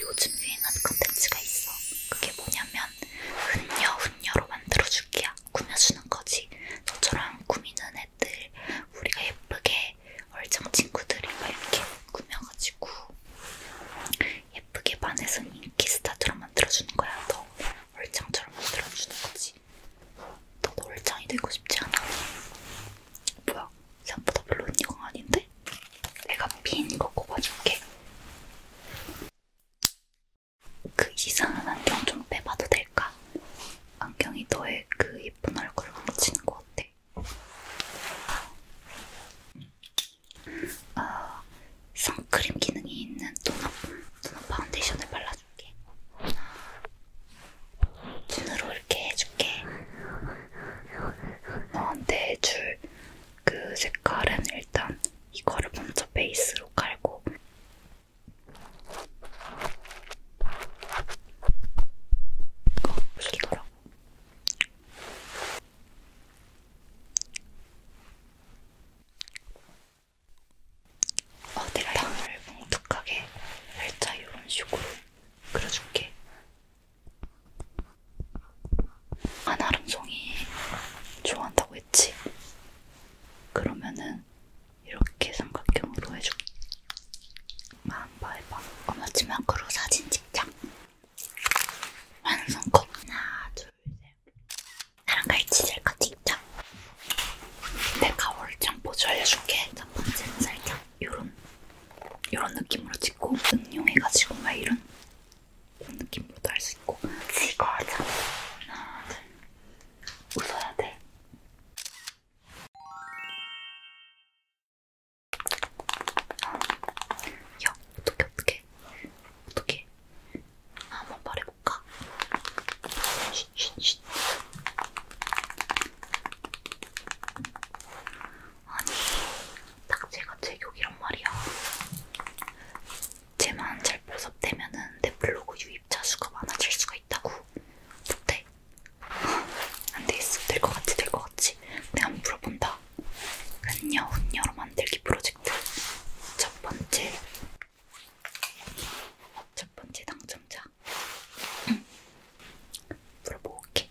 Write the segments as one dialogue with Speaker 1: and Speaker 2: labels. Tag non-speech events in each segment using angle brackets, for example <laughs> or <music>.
Speaker 1: 요즘 유행한 컨텐츠가 있어. 그게 뭐냐면 훈녀 훈녀로 만들어줄게야. 꾸며주는 거지. 너처럼 꾸미는 애들 우리가 예쁘게 얼짱 친구들이 막 이렇게 꾸며가지고 예쁘게 반에서 인기 스타처럼 만들어주는 거야. 너 얼짱처럼 만들어주는 거지. 너도 얼짱이 되고 싶지 않아? 뭐야? 생각보다 별로 언니가 아닌데? 내가 핀 거 꼽아줄게. 그 이상한 안경 좀 빼봐도 될까? 안경이 너의 그 예쁜 얼굴을 뭉치는 것 같아. 아, 선크림 기능이 있는 도넛, 도넛 파운데이션을 발라줄게. 눈으로 이렇게 해줄게. 너한테 줄그 색깔은 일단 이거를 먼저 베이스로 깔고 이거 보시더라고 어디 땅을 뭉툭하게 살짝 이런 식으로 그려줄게. 한아름송이 좋아한다고 했지? 그러면은 이렇게 삼각형으로 해줘. 한번 해봐. 어마지막으로 사진 찍자. 완성컷. 하나, 둘, 셋. 나랑 같이 셀카 찍자. 내가 월장 보조 알려줄게. 첫 번째는 살짝 요런 요런 느낌으로 찍고 응용해가지고 막 이런 이런 느낌으로도 할 수 있고 찍어 하자 하나 둘 웃어야 돼 아, 야, 어떻게 어떻게 어떻게 한번 말해볼까? 쉿쉿쉿 아니, 딱지가 제격이란 말이야. 쟤만 잘 보섭되면은 내 블로그 유입자 수가 많아질 수가 있다고. 못해. 안 되겠어. 될 것 같지, 될 것 같지. 내가 네, 한번 물어본다. 흔녀, 흔녀로 만들기 프로젝트. 첫 번째. 첫 번째 당첨자. 음. 물어볼게.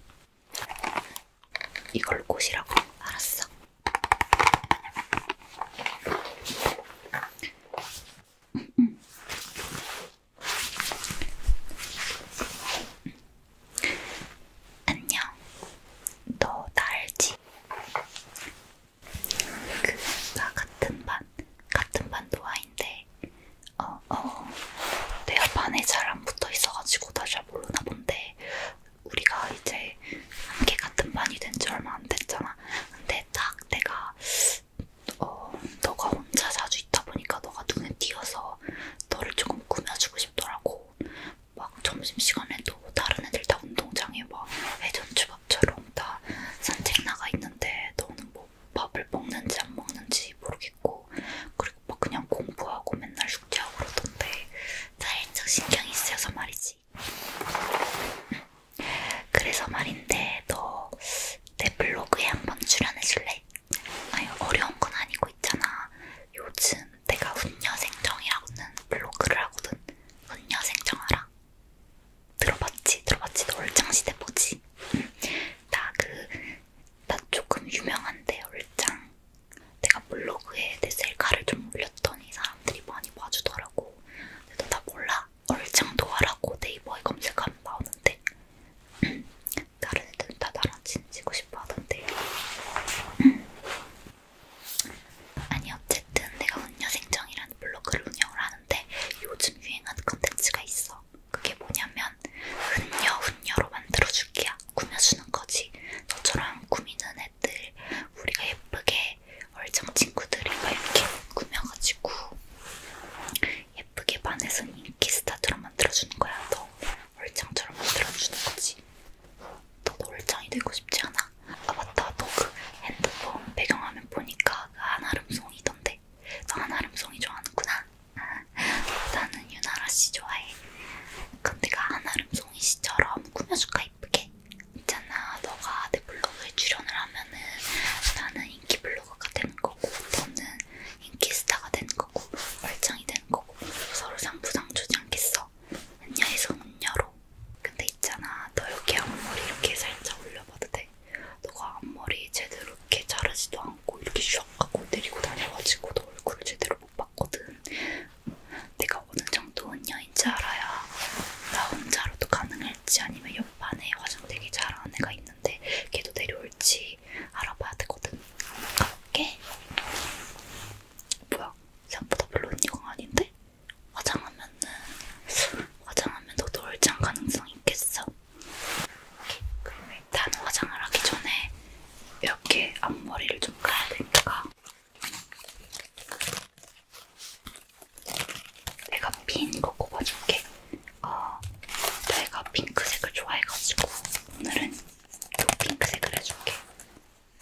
Speaker 1: 이걸 꽃이라고 알았어. 안녕. 너 나 알지? 그나 같은 반 같은 반 노아인데. 어, 어. 내가 반에 잘 안 붙어 있어가지고 나잘 모르나 본데 우리가 이제 함께 같은 반이 된지 얼마 안 됐잖아. 근데 딱 내가 어, 너가 혼자 자주 있다 보니까 너가 눈에 띄어서 너를 조금 꾸며주고 싶더라고. 막 점심시간에도 다른 애들 다 운동장에 막 회전주밥처럼 다 산책 나가 있는데 너는 뭐 밥을 먹는지 안 먹는지 모르겠고 있고 그리고 막 뭐 그냥 공부하고 맨날 숙제하고 그러던데 살짝 신경이 쓰여서 말이지 그래서 말인데 너 내 블로그에 한번 출연해줄래? 아니 어려운 건 아니고 있잖아 요즘 내가 훈녀생정이라고는 블로그를 하거든 훈녀생정 알아? 들어봤지? 들어봤지? 너 얼짱시대 보지? 나 그, 나 조금 유명한데 얼짱 내가 블로그에 내 셀카를 좀 올렸더니 사람들이 많이 봐주더라고. 근데 나 몰라. 얼짱도하라고 네이버에 검색하면 나오는데 <clears throat> 다른 애들은 다 나랑 친지고 싶어 하던데. <clears throat> 아니 어쨌든 내가 운녀생정이라는 블로그를 운영을 하는데 요즘 유행하는 컨텐츠가 있어. 그게 뭐냐면 훈녀 훈녀로 만들어줄게야 꾸며주는 거지 저처럼 꾸미는 애들 우리가 예쁘게 얼짱 친구들이가 이렇게 꾸며가지고 예쁘게 반에서 인기 스타처럼 만들어주는 거야 너 얼짱처럼 만들어주는 거지 너도 얼짱이 되고 싶지 않아? 아 맞다 너 그 핸드폰 배경화면 보니까 그 한아름송이던데 너 한아름송이 좋아하는구나 나는 유나라 씨 좋아해. 그럼 내가 한아름 송이 씨처럼 꾸며줄까 이쁘게? 있잖아, 너가 내 블로그에 출연을 하면은 나는 인기 블로거가 되는 거고, 너는 인기 스타가 되는 거고, 얼짱이 되는 거고, 서로 상부상조지 않겠어. 은녀에서 은녀로. 근데 있잖아, 너 이렇게 앞머리 이렇게 살짝 올려봐도 돼. 너가 앞머리 제대로 이렇게 자르지도 않고. 않고 이렇게 슉 하고 데리고 다녀가지고 너 얼굴을 제대로 못 봤거든. 내가 어느 정도 은녀인지 알아야 나 혼자로도 가능할지 아니면 옆반에 화장되게 잘하는 애가 있는데 걔도 데려올지 알아봐야 되거든. 가볼게. 뭐야? 생각보다 별로 은녀가 아닌데? 화장하면은 화장하면 너도 얼짱 가능성 있겠어? 그럼 일단 화장을 하기 전에 몇개 앞머리를 좀 가야 되니까 내가 핀거 꼽아줄게. 어, 내가 핑크색을 좋아해가지고 오늘은 요 핑크색을 해줄게.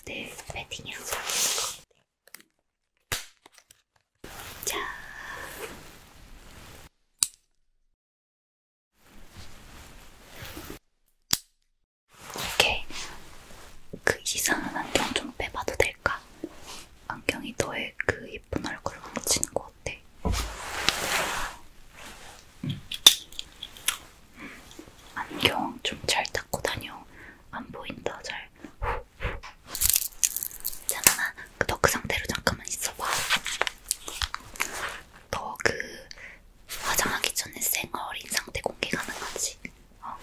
Speaker 1: 내 패딩이랑 잘 어울릴 것 같아. 자, 오케이. 그 이상한 안경 좀 빼봐도 될까? 안경이 너의 그 예쁜 얼굴을 뭉치는 것 같아. 음. 안경 좀 잘 닦고 다녀. 안 보인다, 잘. 잠깐만, 너 그 상태로 잠깐만 있어봐. 더그 화장하기 전에 생얼인 상태 공개 가능하지? 어.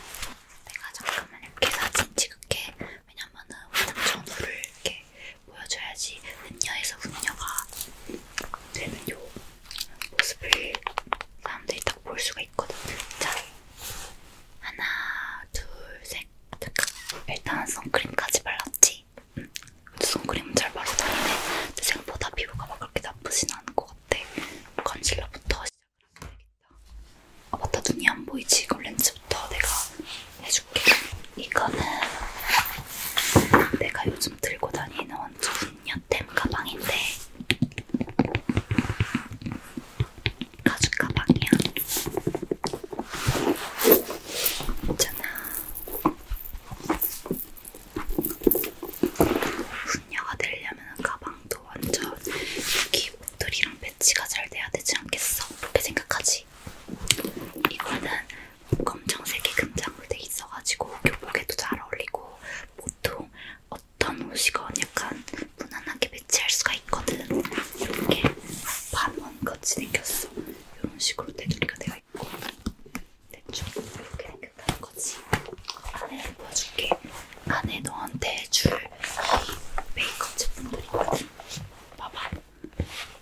Speaker 1: 내가 잠깐만 이렇게 사진 찍을게. 왜냐면은 화장 전후를 이렇게 보여줘야지 음녀에서 음녀가 되는 요 모습을 사람들이 딱 볼 수가 있거든. 자, 하나, 둘, 셋. 잠깐. 일단 선크림까지 발랐지. 선크림 잘 바르고 다니네. 생각보다 피부가 막 그렇게 나쁘진 않은 것 같아. 컨실러부터 시작을 하면 되겠다. 아 맞다, 눈이 안 보이지? 그럼 렌즈부터 내가 해줄게. 이거는 내가 요즘 들고 다니는 완전 여템 가방인데 가죽 가방이야. 있잖아. 훈녀가 되려면 가방도 완전 여기 목도리랑 배치가 잘 돼야 되지 않겠어? 그렇게 생각하지? 이거는 검정색의 금장으로 돼 있어가지고 교복에도 잘 어울리고 보통 어떤 옷이건 약간 무난하게 배치할 수가 있거든. 이렇게 반원 같이 생겼어. 이런 식으로 테두리가 되어 있고 대충 이렇게 생각하는 거지. 안에 보여줄게. 안에 너한테 줄이 메이크업 제품들이거든. 봐봐.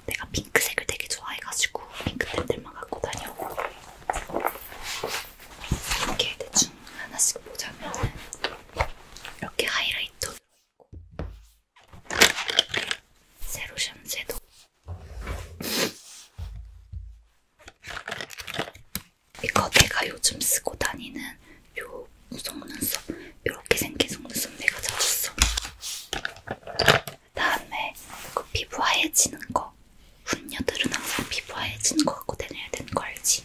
Speaker 1: 내가 핑크색을 되게 좋아해가지고 핑크템들만 갖고 다녀. 이렇게 대충 하나씩 보자면은 이렇게 하이라이터 들어있고 세로션 섀도 이거 내가 요즘 쓰고 다니는 요 속눈썹 요렇게 생긴 속눈썹 내가 샀어 다음에 그 피부 하얘지는 거 훈녀들은 항상 피부 하얘지는 거 갖고 다녀야 되는 거 알지?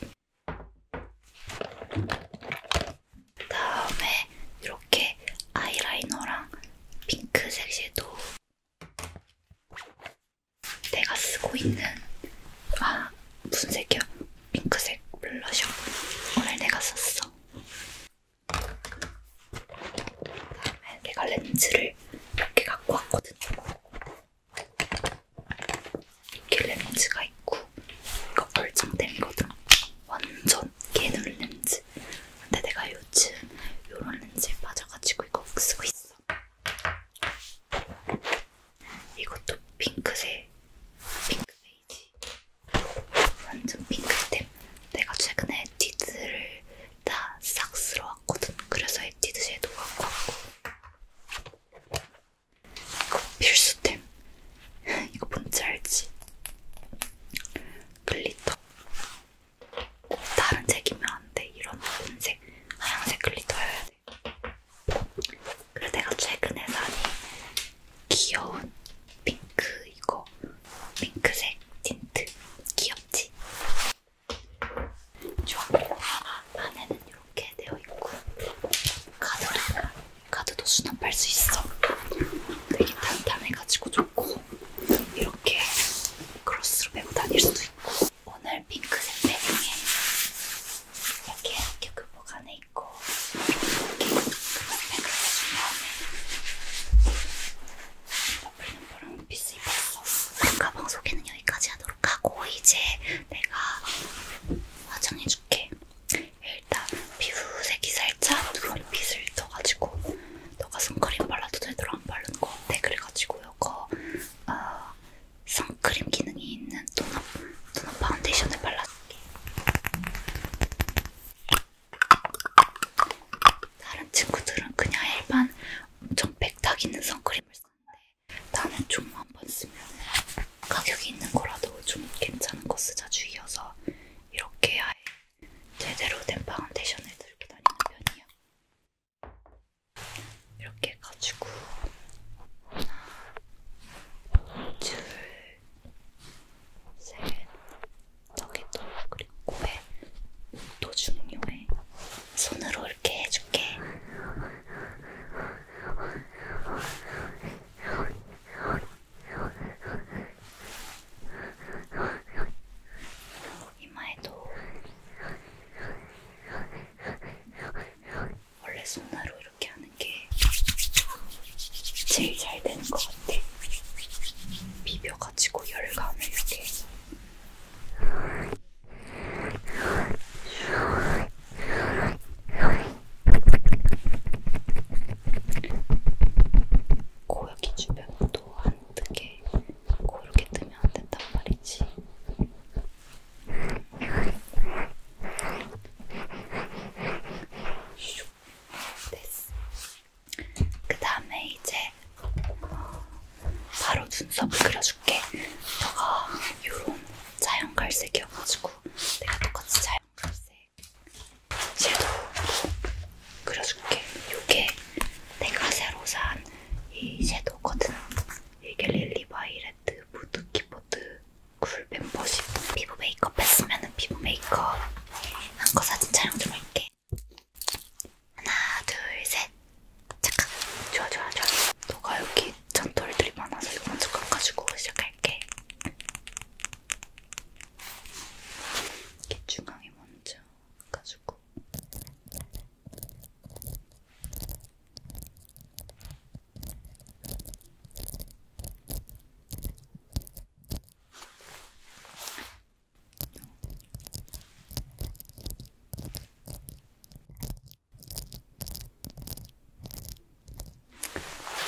Speaker 1: 다음에 이렇게 이렇게 아이라이너랑 핑크색 섀도우 내가 쓰고 있는 아 무슨 색이야? 핑크색 블러셔 오늘 내가 썼어 다음에 내가 렌즈를 몇개 갖고 왔거든 이렇게 렌즈가 있고 이거 얼짱댐이거든 완전 개눈 렌즈 근데 내가 요즘 요런 렌즈에 빠져가지고 이거 쓰고 있어. 이것도 핑크색, 핑크 베이지. 완전 핑크템. 내가 최근에 에뛰드를 다싹 쓸어 왔거든. 그래서 에뛰드 섀도우 갖고 왔고. 이거 필수템. <laughs> 이거 뭔지 알지? 글리터. 다른 색이면 안돼 이런 은색 하얀색 글리터여야 돼 그래서 내가 최근에 사니 귀여운 핑크 이거 핑크색 틴트 귀엽지? 좋아 안에는 이렇게 되어 있고 카드도 카드도 수납할 수 있어 되게 단단해가지고 좋고 이렇게 크로스로 메고 다닐 수도 있고 오늘 핑크색 패딩에 이렇게 이렇게 교복 안에 있고 이렇게 금액을 해준 다음에 플랫포랑 원피스 입었어 가방 소개는 여기까지 하도록 하고 이제 내가 화장해줄게 일단 피부색 기사일 살짝 눈빛을 떠가지고 너가 선크림 발라도 제대로 안 바른 거 같아 네, 그래가지고 이거 어, 선크림 기능이 있는 톤업, 톤업 파운데이션을 발라줄게 다른 친구들은 그냥 일반 엄청 백탁 있는 선크림을 쓰는데 나는 좀 한번 쓰면 가격이 있는 거라도 좀 괜찮은 거 쓰자 주의여서 이렇게 아예 제대로 된 파운데이션을 들고 다니는 편이에요. 이렇게 해가지고 하나, 둘, 셋, 여기도 그리고 코에 또 중요해. 손으로 이렇게 해줄게. 이마에도 원래 손으로 이렇게 하는 게 제일 잘 되는 것 같아. 비벼가지고 열감을 이렇게 해서. 코 여기 주변도 한두 개, 코 이렇게 뜨면 안 된단 말이지. 슉. 됐어. 그 다음에 이제 어, 바로 눈썹을 그려줄게. 너가 요런 자연갈색이어가지고 내가 똑같이 자연갈색 섀도우 그려줄게. 요게 내가 새로 산 이 섀도우거든. 이게 릴리 바이레트 무드 키보드 쿨 멤버십. 피부 메이크업 했으면은 피부 메이크업 한 거 사진 촬영 좀 할게. 하나, 둘, 셋. 잠깐. 좋아, 좋아, 좋아. 너가 여기 잔털들이 많아서 이거 먼저 깎아주고 시작할게. 이게 중앙이 먼저 가지고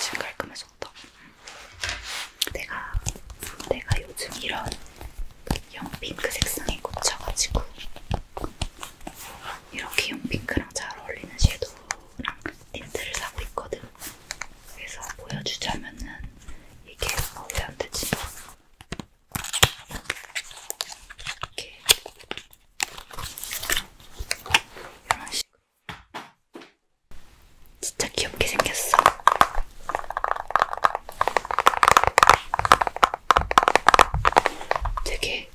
Speaker 1: 지금 깔끔해서 있었다. 내가 내가 요즘 이런 연핑크 색상에 꽂혀가지고 이렇게 연핑크랑 잘 어울리는 섀도우랑 틴트를 사고 있거든. 그래서 보여주자면은 이게 어디 안 되지? 이렇게 이런 식으로 진짜 귀엽게 생겼어. 되게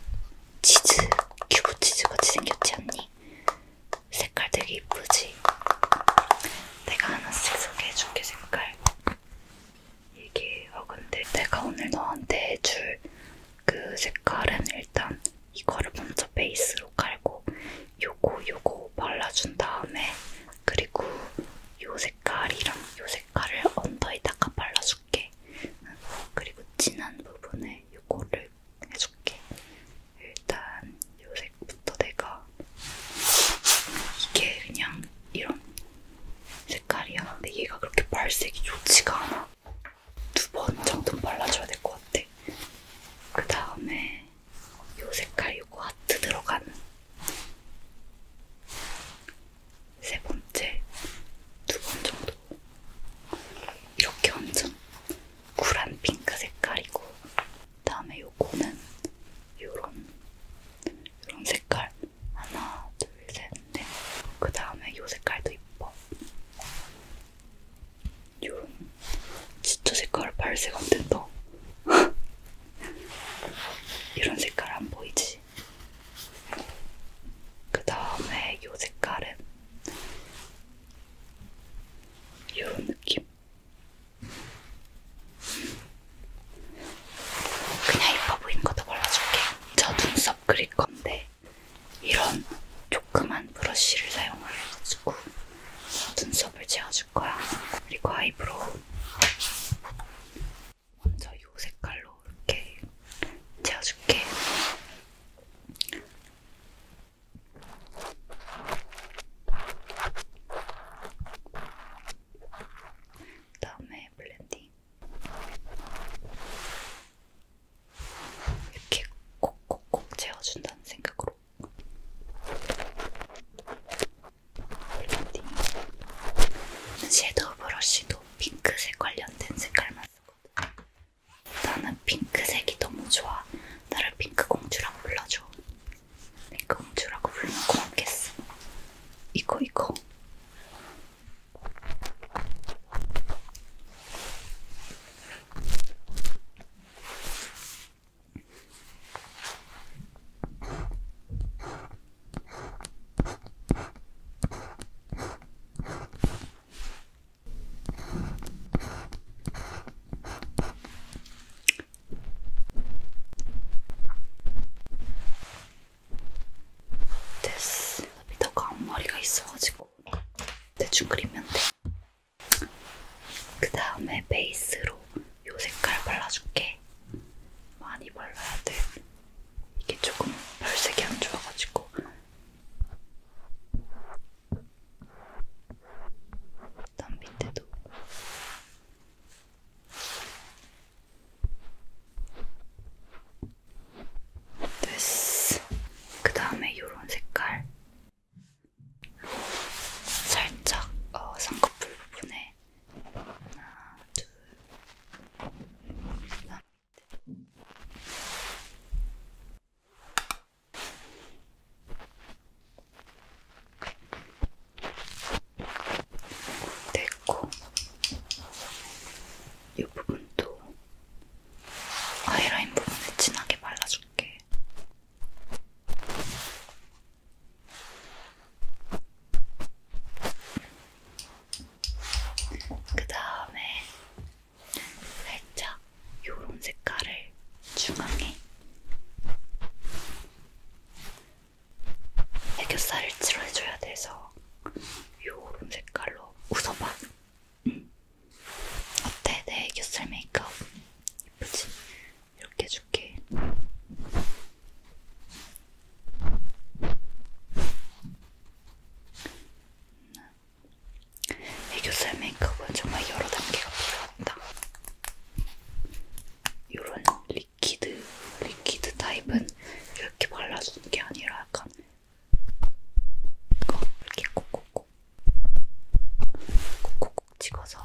Speaker 1: 치즈, 큐브 치즈 같이 생겼지 않니? 색깔 되게 이쁘지? 내가 하나씩 소개해줄게, 색깔. 이게, 어, 근데 내가 오늘 너한테 해줄 그 색깔은 일단 이거를 먼저 베이스로 깔고 요거 요거 발라준 다음에 그리고 요 색깔이랑 요 색깔을 언더에다가 발라줄게. 그리고 진한 부분에 요거를 해줄게. 일단 요 색부터 내가 이게 그냥 이런 색깔이야. 근데 얘가 그렇게 발색이 좋지가 않아. 두 번 정도 발라줘야 될 것 같아. 그 다음에 요 색깔 요거 하트 들어가는 세 번째 두 번 정도 이렇게 완전 쿨한 핑크 색깔이고 다음에 요거는 요런 요런 색깔 하나 둘 셋 넷 그 다음에 요 색깔도 이뻐 이런 진짜 색깔 발색 안 된다. <laughs> 이런 색깔 안 보이지? 그 다음에 이 색깔은 이런 느낌. 그냥 이뻐 보이는 것도 발라줄게. 저 눈썹 그릴 건데 이런 조그만 브러쉬를 사용을 해가지고 눈썹을 채워줄 거야. 그리고 아이브로우. 먼저 이 색깔로 이렇게 채워줄게. 그 다음에 블렌딩. 이렇게 꼭꼭꼭 채워준다는 생각으로 섀도우 브러쉬도 핑크색 관련된 색깔만 쓰거든. 나는 핑크색이 너무 좋아. 나를 핑크 공주라고 불러줘. 핑크 공주라고 불러면 고맙겠어. 이거 이거. 됐어. 밑에 광머리가 있어가지고 대충 그리면 돼. 그 다음에 베이스로 요 색깔 발라줄게. 많이 발라야 돼. 이게 조금 별색이 안 좋아가지고. 일단 밑에도. 됐어. 그 다음에 요런 색깔. 살짝 어, 쌍꺼풀 부분에 하나, 둘, 하나, 됐고 이 부분도 아이라인 부분에 진하게 발라줄게. 그 다음에 살짝 요런 색깔을 중앙에 애교살을 칠해줘야 돼서 요런 색깔로 웃어봐 어때? 내 애교살 메이크업 예쁘지? 이렇게 해줄게 애교살 메이크업은 정말 여러 단계가 필요하다 이런 리퀴드, 리퀴드 타입은 이렇게 발라주는 게 아니라 약간 이렇게 꼭꼭 콕콕콕 콕콕콕 찍어서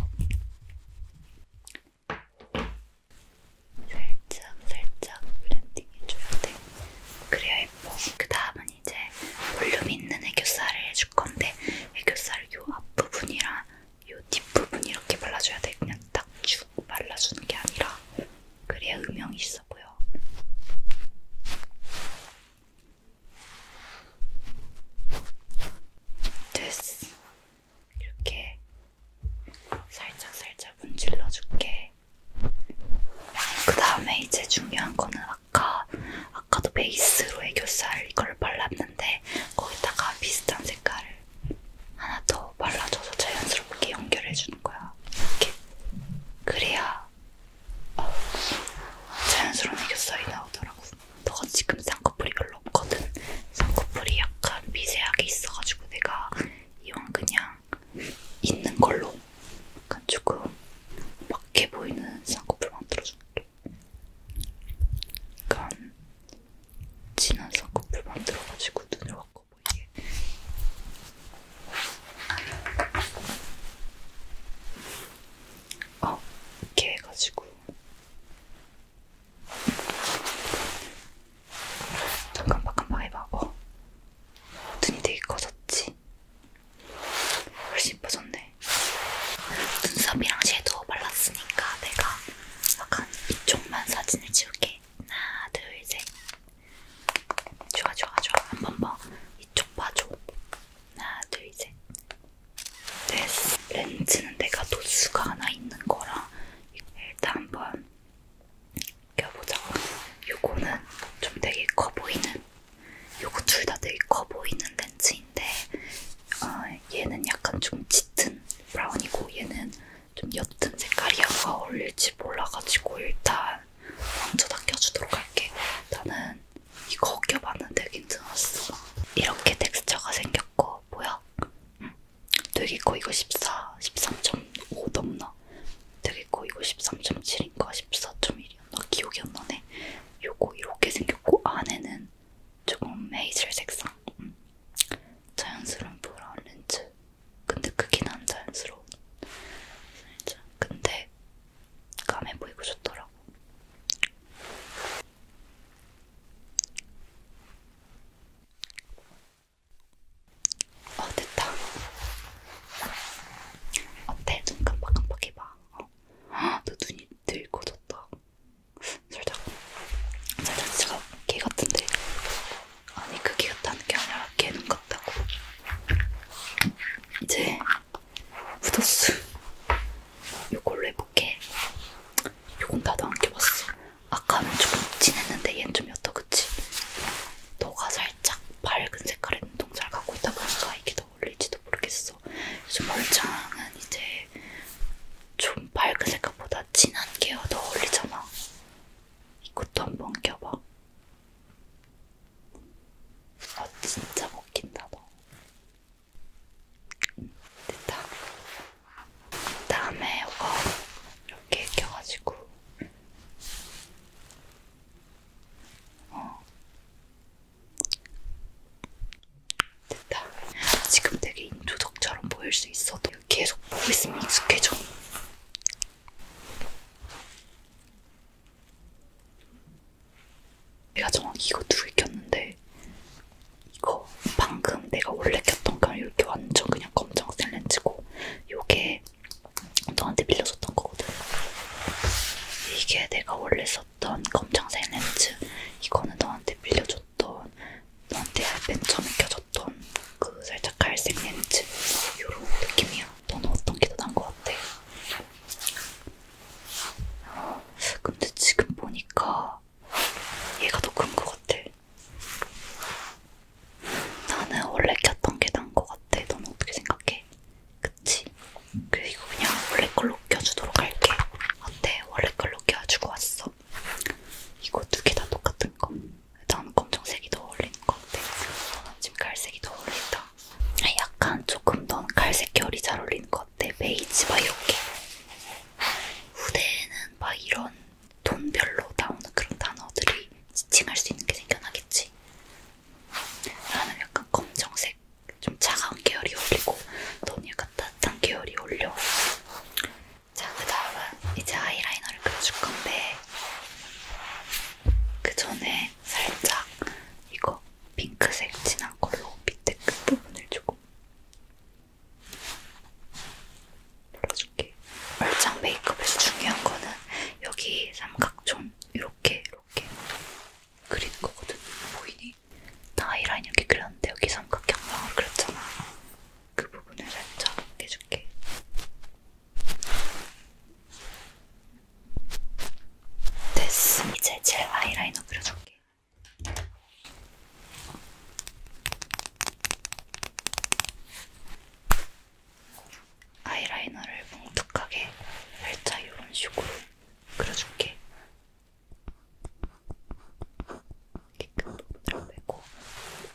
Speaker 1: 살짝 살짝 블렌딩 해줘야 돼. 그래야 예뻐. 그 다음은 이제 볼륨 있는 애교살을 해줄 건데 애교살 요 앞부분이랑 요 뒷부분 이렇게 발라줘야 돼. 그냥 딱 쭉 발라주는 게 아니라 그래야 음영이 있어 보여. 됐어. 이렇게 살짝 살짝 문질러 줄게. 그 다음에 이제 중요한 거는 아까 아까도 베이스로 애교살 이걸 발랐는데 거기다가 비슷한 색깔을 하나 더 발라줘서 자연스럽게 연결해 주는 거야. 이렇게 그래야 자연스러운 애교살이 나오더라고. 너가 지금 쌍꺼풀이 별로 없거든. 쌍꺼풀이 약간 미세하게 있어가지고 내가 이왕 그냥 있는 걸로 약간 조금 밖에 보이는 쌍꺼풀 만들어줄게. 약간 진한 쌍꺼풀 만들어가지고 눈을 확 꺼보이게. 어, 이렇게 해가지고 깜빡깜빡 해봐. 어, 눈이 되게 커졌지? 훨씬 예뻐졌네. 눈썹이랑 섀도우 발랐으니까 내가 약간 이쪽만 사진을 찍을게. 하나, 둘, 셋. 좋아, 좋아, 좋아. 한번 봐. 이쪽 봐줘. 하나, 둘, 셋. 됐어. 렌즈는 내가 도수가 하나 있는 거라 일단 한번 껴보자고. 요거는 좀 되게 커 보이는, 요거 둘 다 되게 커 보이는 렌즈인데, 어, 얘는 약간 좀 짙은 브라운이고, 얘는 좀 옅은 색깔이 약간 어울릴지 몰라가지고, 일단 먼저 다 껴주도록 할게. 나는 이거 벗겨봤는데 괜찮았어. 이렇게 텍스처가 생겼고, 뭐야? 응. 되게 거 이거 14, 13.5 넘나? 되게 거 이거 13.7인가? 14.1이었나? 기억이 안 나네. 요거 이렇게 생겼고, 안에는 조금 헤이즐 색상. 응. 음. 자연스러운 브라운 렌즈. 근데 크긴 안 자연스러운. 진짜. 근데 감해 보이고 좋더라고. 어 됐다. 어때? 눈 깜빡깜빡해봐. 어. 너 눈이 늙어졌다. 살짝 살짝 진짜 개 같은데. 아니 그게 같다는 게 아니라 개눈 같다고. 이제 묻었어. 요걸로 해볼게. 요건 나도 안 껴봤어. 아까는 조금 진했는데 얘는 좀 옅어, 그치? 너가 살짝 밝은 색깔의 눈동자를 갖고 있다 보니까 이게 더 어울릴지도 모르겠어. 요즘 얼짱은 이제 좀 밝은 색깔보다 진한 게더 어울리잖아. 이것도 한번 껴봐. 아 진짜 먹힌다 너. 됐다. 다음에 이거 이렇게 익혀가지고 어. 됐다. 지금 되게 인조덕처럼 보일 수 있어도 계속 보고 있으면 익숙해져. 내가 정확히 이거 두개 꼈는데 이거 방금 내가 원래 꼈던 건 이렇게 완전 그냥 검정색 렌즈고 요게 너한테 빌려줬던 거거든 이게 내가 원래 썼던 검정색 렌즈 이거는 너한테 빌려줬던 너한테 맨 처음에 껴줬던 그 살짝 갈색 렌즈 요런 느낌이야 너는 어떤 게 더 나은 것 같아? 근데 지금 보니까 얘가 더 큰 것 같아. 나는 원래 꼈던 게 나은 것 같아. 너는 어떻게 생각해? 그치? 그리고 그냥 원래 걸로 껴주도록 할게. 어때? 원래 걸로 껴주고 왔어. 이거 두 개 다 똑같은 거. 나는 검정색이 더 어울리는 것 같아. 너는 지금 갈색이 더 어울린다. 아, 약간 조금 넌 갈색 결이 잘 어울리는 것 같아. 베이지 막 이렇게. 후대에는 막 이런 돈별로 나오는 그런 단어들이 지칭할 수 있는 게 생겨나겠지. 나는 약간 검정색, 좀 차가운 계열이 어울리고 넌 약간 따뜻한 계열이 어울려. 자, 그 다음은 이제 아이라이너를 그려줄 건데 그 전에 다음에 살짝 이거 핑크색 진한 걸로 밑에 끝부분을 그 조금 눌러줄게. 얼짱 메이크업에서 중요한 거는 여기 삼각존 이렇게 이렇게 그리는 거거든. 보이니? 다이라인 이렇게 그렸는데 여기 삼각형으로 그렸잖아. 그 부분을 살짝 해줄게. 됐어. 이제 젤 아이라이너 그려줄게. 아이라이너를 뭉툭하게 살짝 이런 식으로 그려줄게. 이렇게 큰 부분을 빼고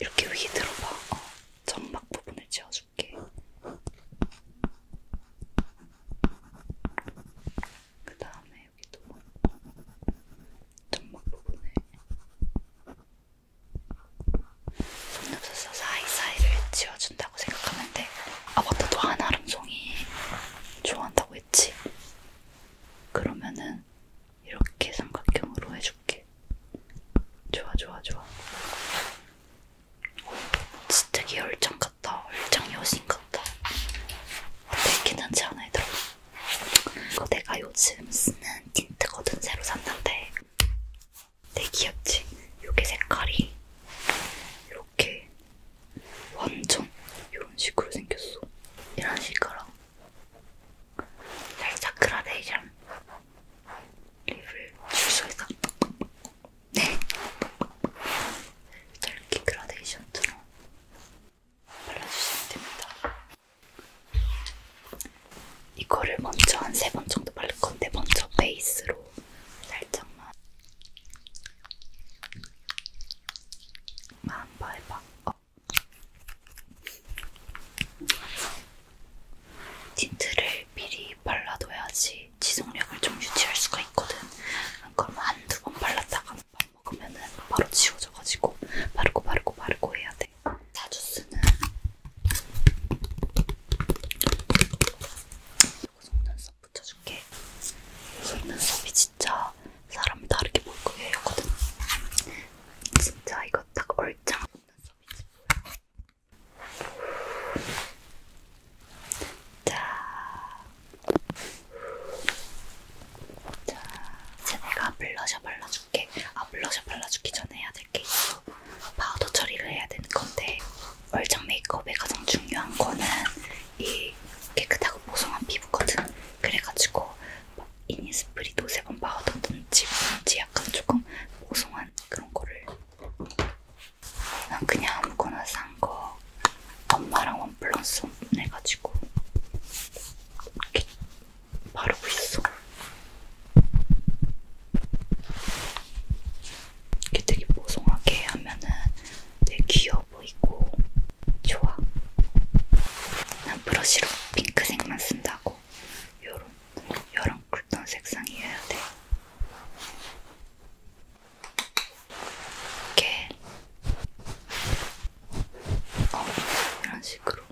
Speaker 1: 이렇게 위에 들어봐. 어, 점막 부분을 지워줄게. 그 다음에 여기도 점막 부분에 속눈썹 사이사이를 지워준다고 생각하면 되고 아 맞다 또 한아름송이 좋아한다고 했지? 그러면은 이렇게 삼각형으로 해줄게 좋아 좋아 좋아 진짜 되게 열정 같다. 열정 여신 같다. 어때? 괜찮지 않아, 얘들아? 이거 내가 요즘 쓰는 틴트거든, 새로 샀는데. 되게 귀엽지? 요게 색깔이 이렇게 완전 이런 식으로 생겼어. 이런 식으로. 살짝 그라데이션 립을 줄 수 있어. 네. 털기 그라데이션처럼 발라주시면 됩니다. 이거를 먼저 한 세 번 정도 바를 건데 먼저 베이스로 살짝만 한번 해봐. 어. 틴트를 미리 발라둬야지 이게 지속력을 좀 유지할 수가 있거든. 그럼 한두 번 발랐다가 밥 먹으면은 바로 지워져가지고 바르고 바르고 바르고 해야 돼. 자주 쓰는 속눈썹 붙여줄게. 속눈썹이 진짜 사람 다르게 볼 거예요. 거든 진짜 이거 딱 얼짱 속눈썹이지. 자, 자, 이제 내가 블러셔 발라줄게. 아, 블러셔 발라주기 전에 해야 될게 있어. 파우더 처리를 해야 되는 건데, 얼짱 메이크업의 가장 중요한 거는 이 깨끗하고 보송한 피부거든. 그래가지고 이니스프리도 세번 파우더든지 뭔지 약간 조금 보송한 그런 거를 그냥 아무거나 산 거 엄마랑 원 플러스 원 해가지고 이렇게 바르고 있어. 이렇게 되게 보송하게 하면은 되게 귀여워 보이고 좋아. 난 브러쉬로 핑크색만 쓴다고 요런 이런 쿨톤 색상이어야 돼요. 이렇게 어, 이런 식으로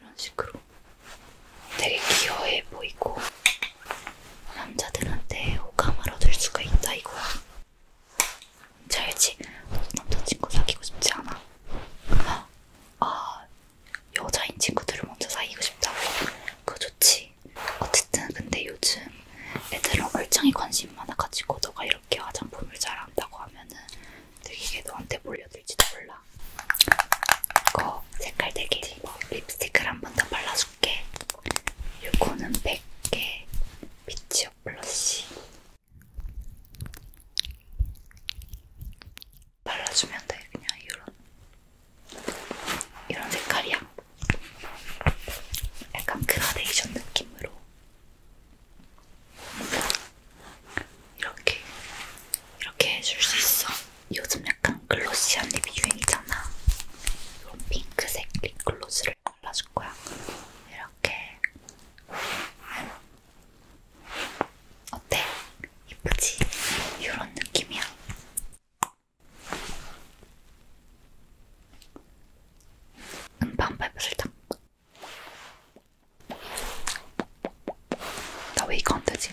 Speaker 1: 이런 식으로 되게 귀여워해 보이고 남자들한테 호감을 얻을 수가 있다 이거야. 잘지 남자친구 사귀고 싶지 않아? 아 여자인 친구들을 먼저 사귀고 싶다고 그거 좋지 어쨌든 근데 요즘 애들은 얼짱이 관심 많아가지고 너가 이렇게 화장품을 잘한다고 하면은 되게 이게 너한테 몰려들지도 몰라 이거 색깔 되게 이뻐 립스틱을 한 번 더 발라줄게 요거는 100개 비치업 블러쉬 발라주면 돼. 그냥 이런 이런 색깔이야. 약간 그라데이션 느낌으로 이렇게 이렇게 해줄 수 있어. 요즘 약간 글로시한 립이 유행이잖아. 이런 핑크색 립글로스를 발라줄 거야. 이렇게 어때? 이쁘지? 이런 느낌이야. 음반 밟아 살짝. 나왜 이거 안 되지?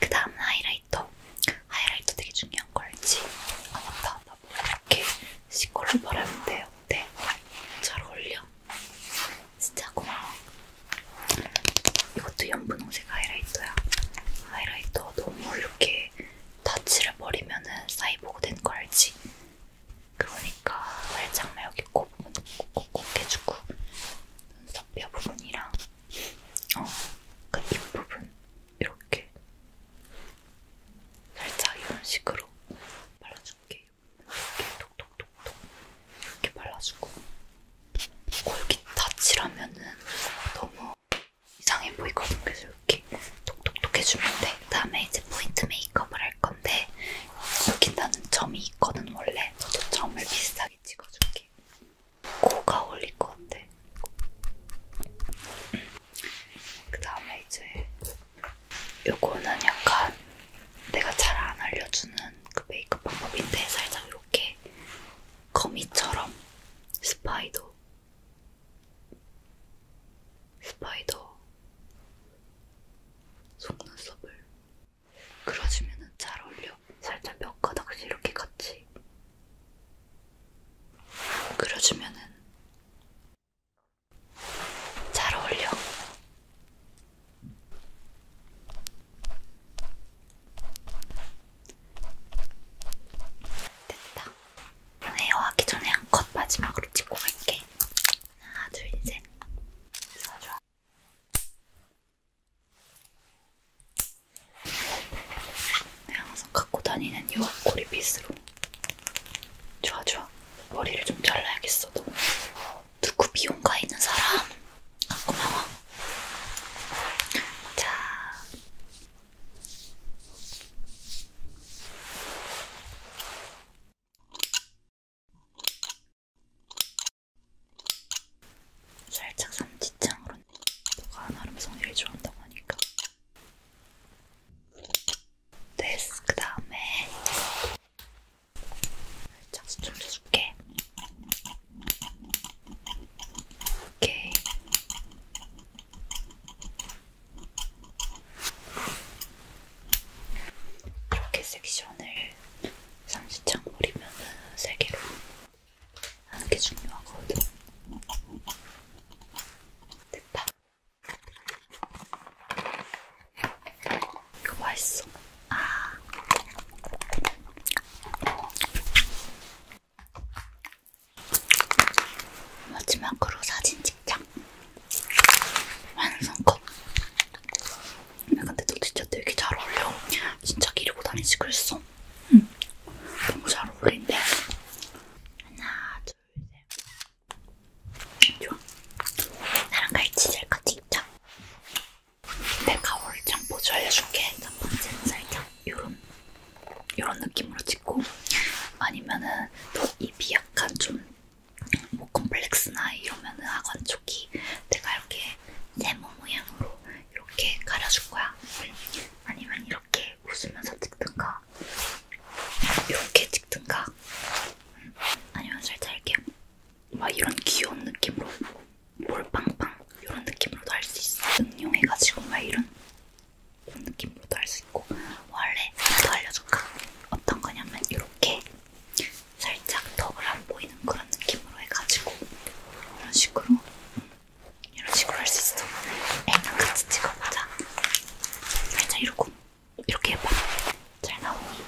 Speaker 1: 그 다음 하이라이터. 하이라이터 되게 중요한 거 알지? 아 맞다. 뭐 이렇게 시컬로 바르면 돼. 어때? 잘 어울려? 진짜 고마워. 이것도 연분홍색 하이라이터야. 하이라이터 너무 이렇게 다 칠해버리면은 사이보그 된거 알지? 그러니까 살짝만 여기 코 부분 꼭꼭 해주고 눈썹 뼈 부분이랑 어, 그입 부분 이렇게 살짝 이런 식으로 발라줄게요. 이렇게 톡톡 톡톡 이렇게 발라주고 골기 다칠하면은 너무 이상해 보이거든. 그래서 이렇게 톡톡톡 해주면 돼. 다음에 이제 포인트 메이크업을 할 건데 여기 나는 점이 있거든 원래. 저도 점을 비슷하게 찍어줄게. 코가 어울릴 것 같아. 그 다음에 이제 요거는 약간 내가 잘 안 알려주는 그 메이크업 방법인데 살짝 이렇게 거미처럼 스파이더 스파이더 속눈썹을 그려주면 잘 어울려. 살짝 몇 가닥씩 이렇게 같이 그려주면은 잘 어울려. 됐다. 헤어하기 전에 한 컷 마지막으로 찍고 갈게. 하나, 둘, 셋. 좋아, 좋아. 항상 갖고 다니는 요 고리빗으로. 좋아, 좋아. 머리를 좀 잘라야겠어, 너. 누구 미용가 있는 사람? 아, 고마워. 자. 살짝 삼지창으로 너가 나름 성질이 좋아한다고 하니까 됐어 그 다음에 살짝 좀 줄게. 오케이. 이렇게 섹션을 상시창 버리면 세 개로 하는 게 중요하거든. 됐다. 이거 맛있어. 아. 마지막으로 사진 찍자. 완성컷. 근데 너 진짜 되게 잘 어울려. 진짜 기르고 다니지 그랬어. 응. 너무 잘 어울린대. 하나, 둘, 셋. 좋아. 나랑 같이 셀카 찍자. 내가 오늘 보조 알려줄게. 첫 번째 살짝 요런 요런 느낌으로 찍고 아니면은 또 입이 약간 좀뭐 콤플렉스나 이러면은 하관 쪽이 내가 이렇게 네모 모양으로 이렇게 가려줄 거야. 아니면 이렇게 웃으면서 찍든가 이렇게 찍든가 음, 아니면 살짝 이렇게 막 이런 귀여운 느낌으로 볼빵빵 이런 느낌으로도 할 수 있어. 응용해가지고 막 이런 느낌으로도 할 수 있고 원래 또 알려줄까? 어떤 거냐면 이렇게 살짝 덕을 안 보이는 그런 느낌으로 해가지고 이런 식으로 이런 식으로 할 수 있어. 애랑 같이 찍어보자. 살짝 이러고 이렇게 해봐. 잘 나오니?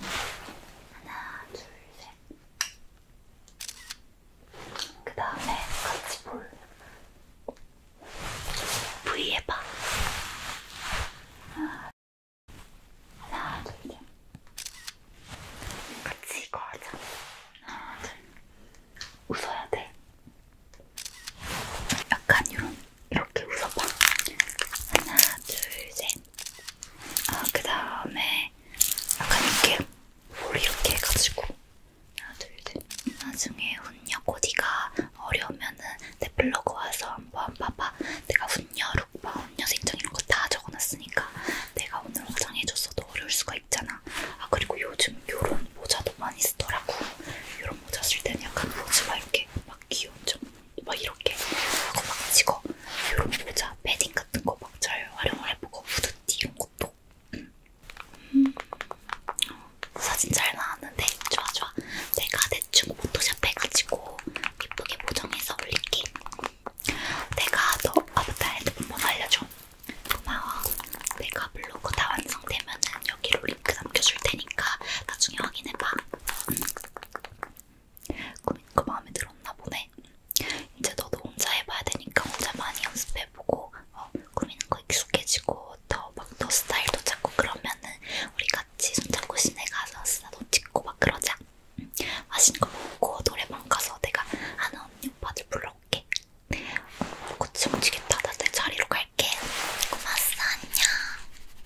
Speaker 1: 하나, 둘, 셋. 그 다음에 같이 볼. V 해봐. 하나, 하나, 둘, 셋. 같이 이거 하자. 하나, 둘. 웃어야 돼. 약간 이런 이렇게 웃어봐. 하나, 둘, 셋. 어, 그 다음에 약간 이렇게 볼 이렇게 해가지고 하나, 둘, 셋. 나중에 훈녀 코디가 어려우면은 내 블로그 와서 한번 봐봐. 내가 훈녀 룩바, 훈녀 생정 이런 거 다 적어놨으니까 내가 오늘 화장해줬어도 어려울 수가 있잖아. 아 그리고 요즘 요런 모자도 많이 쓰더라고. 요런 모자 쓸 때는 약간 모자가 이렇게 막 귀여운 좀막 이렇게 하고 막 치고 이런 모자, 패딩 같은 거 막 잘 활용을 해보고 후드티 이런 것도 음. 음. 사진 잘 나왔는데 좋아 좋아 내가 대충 포토샵 해가지고 예쁘게 보정해서 올릴게 내가 너 아바타 핸드폰 알려줘 고마워 내가 블로그 다 완성되면은 여기로 링크 남겨줄 테니까 나중에 확인해봐 응. 꾸민거 그 마음에 들었나 보네. 이제 너도 혼자 해봐야 되니까 혼자 많이 연습해보고 어, 꾸미는 거 익숙해지고 더 막 너 스타일도 찾고 그러면은 우리 같이 손잡고 시내 가서 스타도 찍고 막 그러자. 응. 맛있는 거 먹고 노래방 가서 내가 아는 언니 오빠들 불러올게. 곧 어, 숨지겠다. 나 내 자리로 갈게. 고맙어. 안녕.